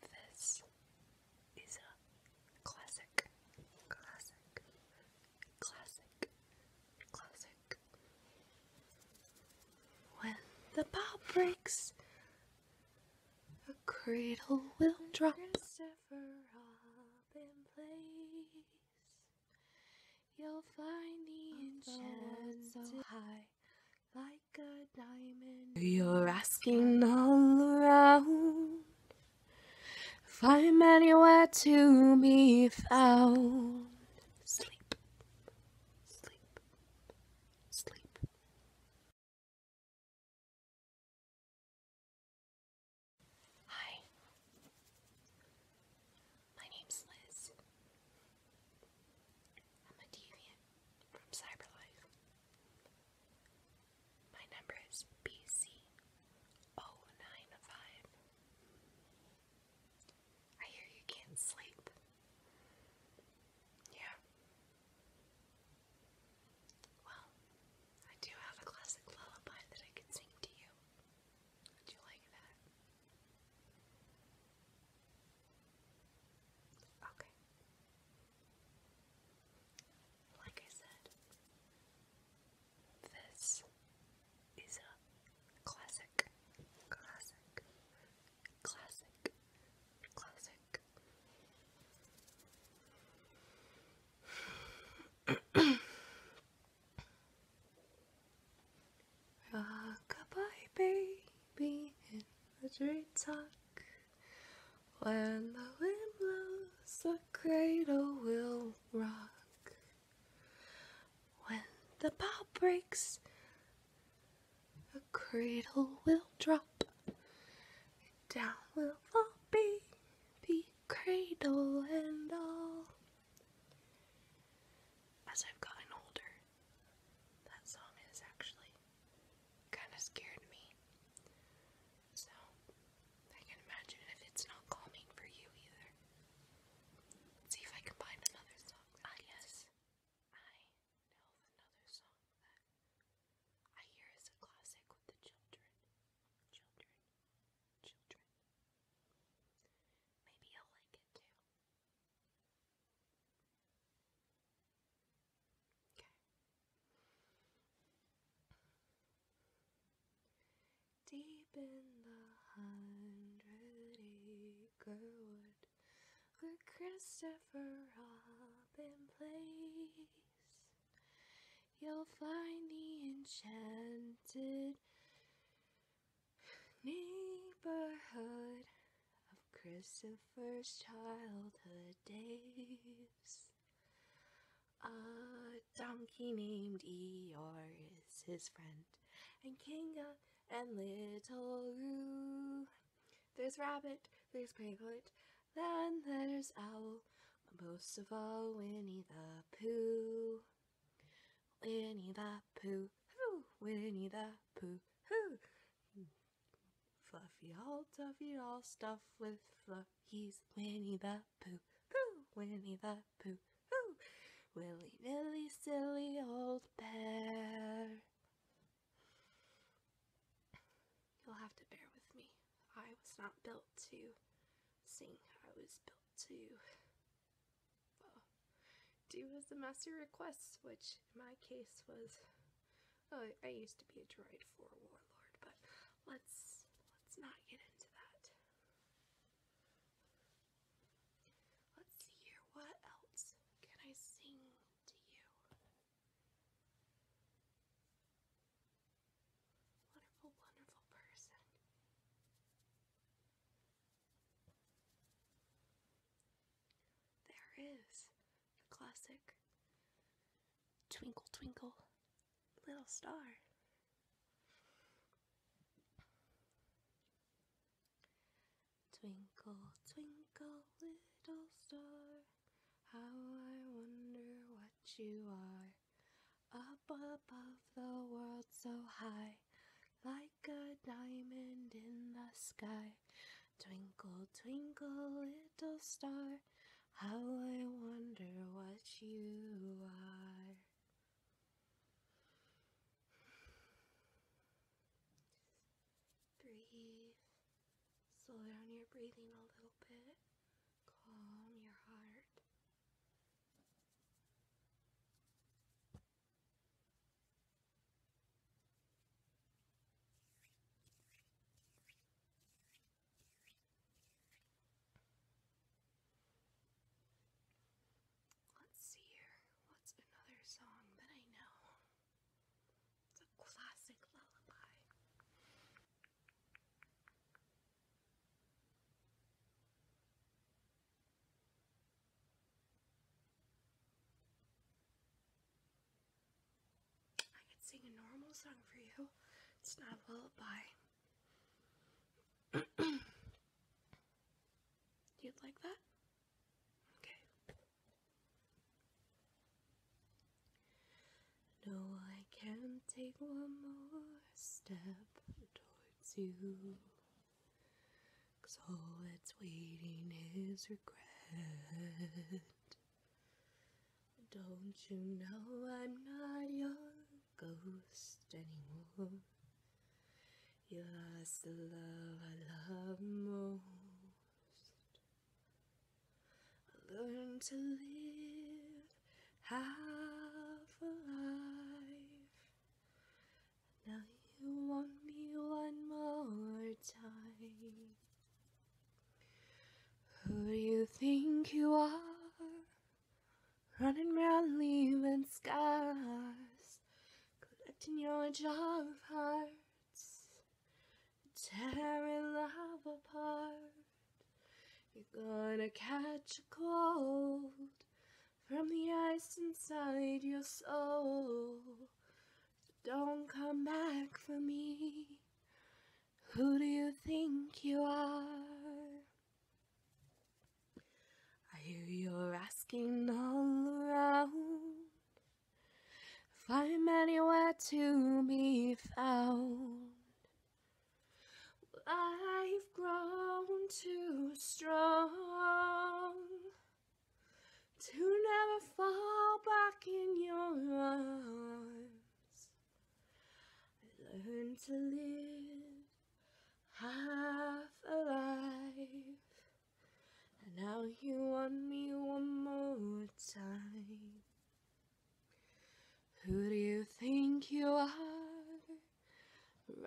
This is a classic, classic, classic, classic. When the bow breaks, a cradle will drop. You'll find the enchantment so high, like diamond. You're asking all around if I'm anywhere to be found. Sleep, sleep, sleep. Hi, my name's Liz. I'm a deviant from Cyberlife. My number is BC095. I hear you can't sleep. Yeah. Well, I do have a classic lullaby that I could sing to you. Would you like that? Okay. Like I said, this is a classic, classic, classic, classic. Rockabye baby in the treetop. When the wind blows, the cradle will rock. When the bow breaks, the cradle will drop. Down will fall baby, cradle and all. As I've gotten older, that song is actually kind of scared me. So, I can imagine if it's not calming for you either. see if I can find another song. Ah, yes. I know another song that I hear is a classic with the children. Children. Children. Maybe you'll like it too. Deep in the hundred acre wood where Christopher Robin plays, you'll find the enchanted neighborhood of Christopher's childhood days. A donkey named Eeyore is his friend, and Kinga and Little Roo. There's Rabbit, there's Piglet, then there's Owl, but most of all Winnie the Pooh. Winnie the Pooh, Winnie the Pooh, pooh, Fluffy all duffy all stuff with fluffies. Winnie the pooh pooh, Winnie the pooh pooh, Willy-nilly silly old bear. You'll have to bear with me. I was not built to sing. I was built to uh, do as the master requests, which in my case was uh, I used to be a droid for warlord, but let's let's not get into that. Let's see here. What else can I sing to you? Wonderful, wonderful person. There is the classic Twinkle Twinkle Little Star. Twinkle, twinkle, little star, how I wonder what you are. Up above the world so high, like a diamond in the sky. Twinkle, twinkle, little star, how I wonder what you are. breathe. Slow down your breathing a little bit. Calm your heart. Let's see here. What's another song that I know? It's a classic lullaby. I could sing a normal song for you. It's not a lullaby. You'd like that? Okay. No, I can't take one more step towards you. Cause all that's waiting is regret. Don't you know I'm not your ghost anymore? You lost the love I love most. I learned to live half a now you want me one more time. Who do you think you are? Running round leaving scars, collecting your jar of hearts, tearing love apart. You're gonna catch a cold from the ice inside your soul. don't come back for me. Who do you think you are? I hear you're asking all around if I'm anywhere to be found. I've grown too strong to never fall back in your arms. I learned to live half alive, and now you want me one more time. Who do you think you are?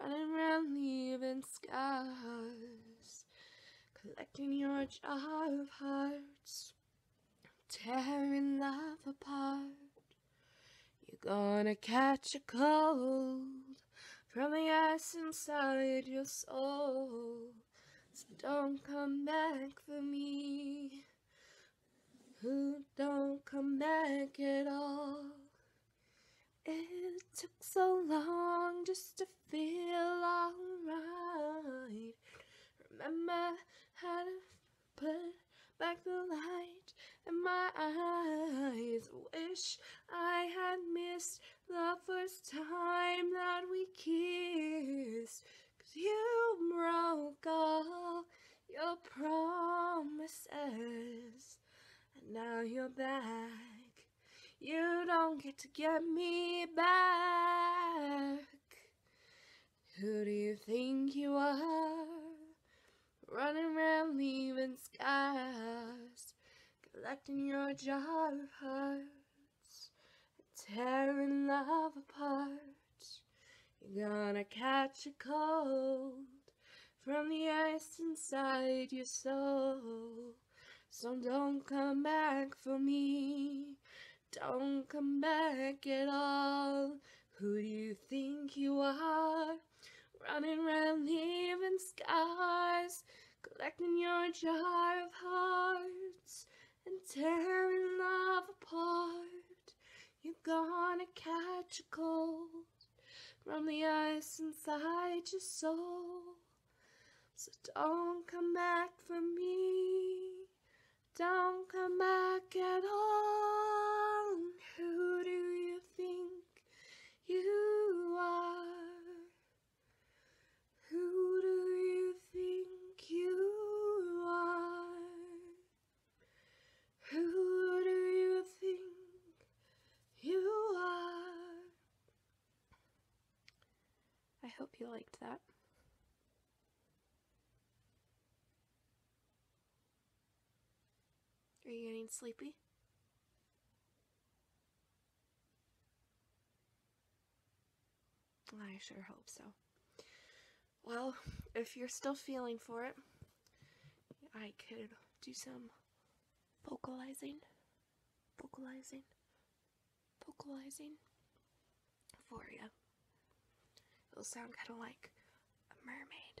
Running around leaving scars, collecting your jar of hearts, tearing love apart. You're gonna catch a cold from the ice inside your soul. So don't come back for me who don't come back at all. It took so long just to feel alright. Remember how to put back the light in my eyes. Wish I had missed the first time that we kissed. Cause you broke up your promises. And now you're back. You don't get to get me back. Who do you think you are? Running around leaving scars. Collecting your jar of hearts. Tearing love apart. You're gonna catch a cold from the ice inside your soul. So don't come back for me. Don't come back at all. Who do you think you are? Running round leaving scars, collecting your jar of hearts and tearing love apart. You're gonna catch a cold from the ice inside your soul. So don't come back for me. Don't come back at all. who do you think you are? Who do you think you are? Who do you think you are? I hope you liked that. Are you getting sleepy? I sure hope so. Well, if you're still feeling for it, I could do some vocalizing, vocalizing, vocalizing for you. It'll sound kind of like a mermaid.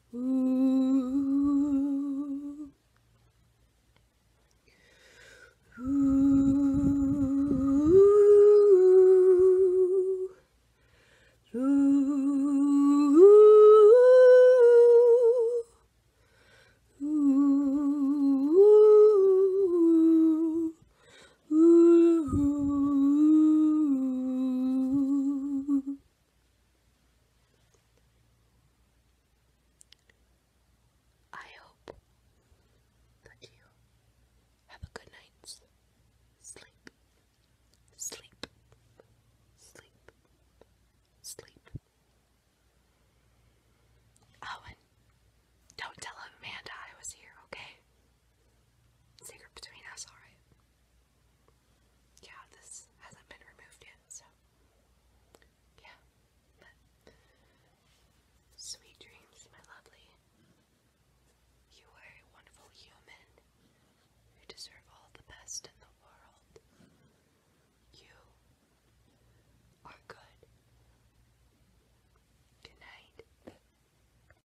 Ooh. Ooh. Ooh. Ooh. Ooh. I hope that you have a good night's sleep. Sleep. Sleep. Sleep. Owen, oh, don't tell Amanda I was here, okay? Secret between us, alright? yeah, this hasn't been removed yet, so yeah. sweet dreams, my lovely. You are a wonderful human. You deserve all the best in the world. You are good. Good night.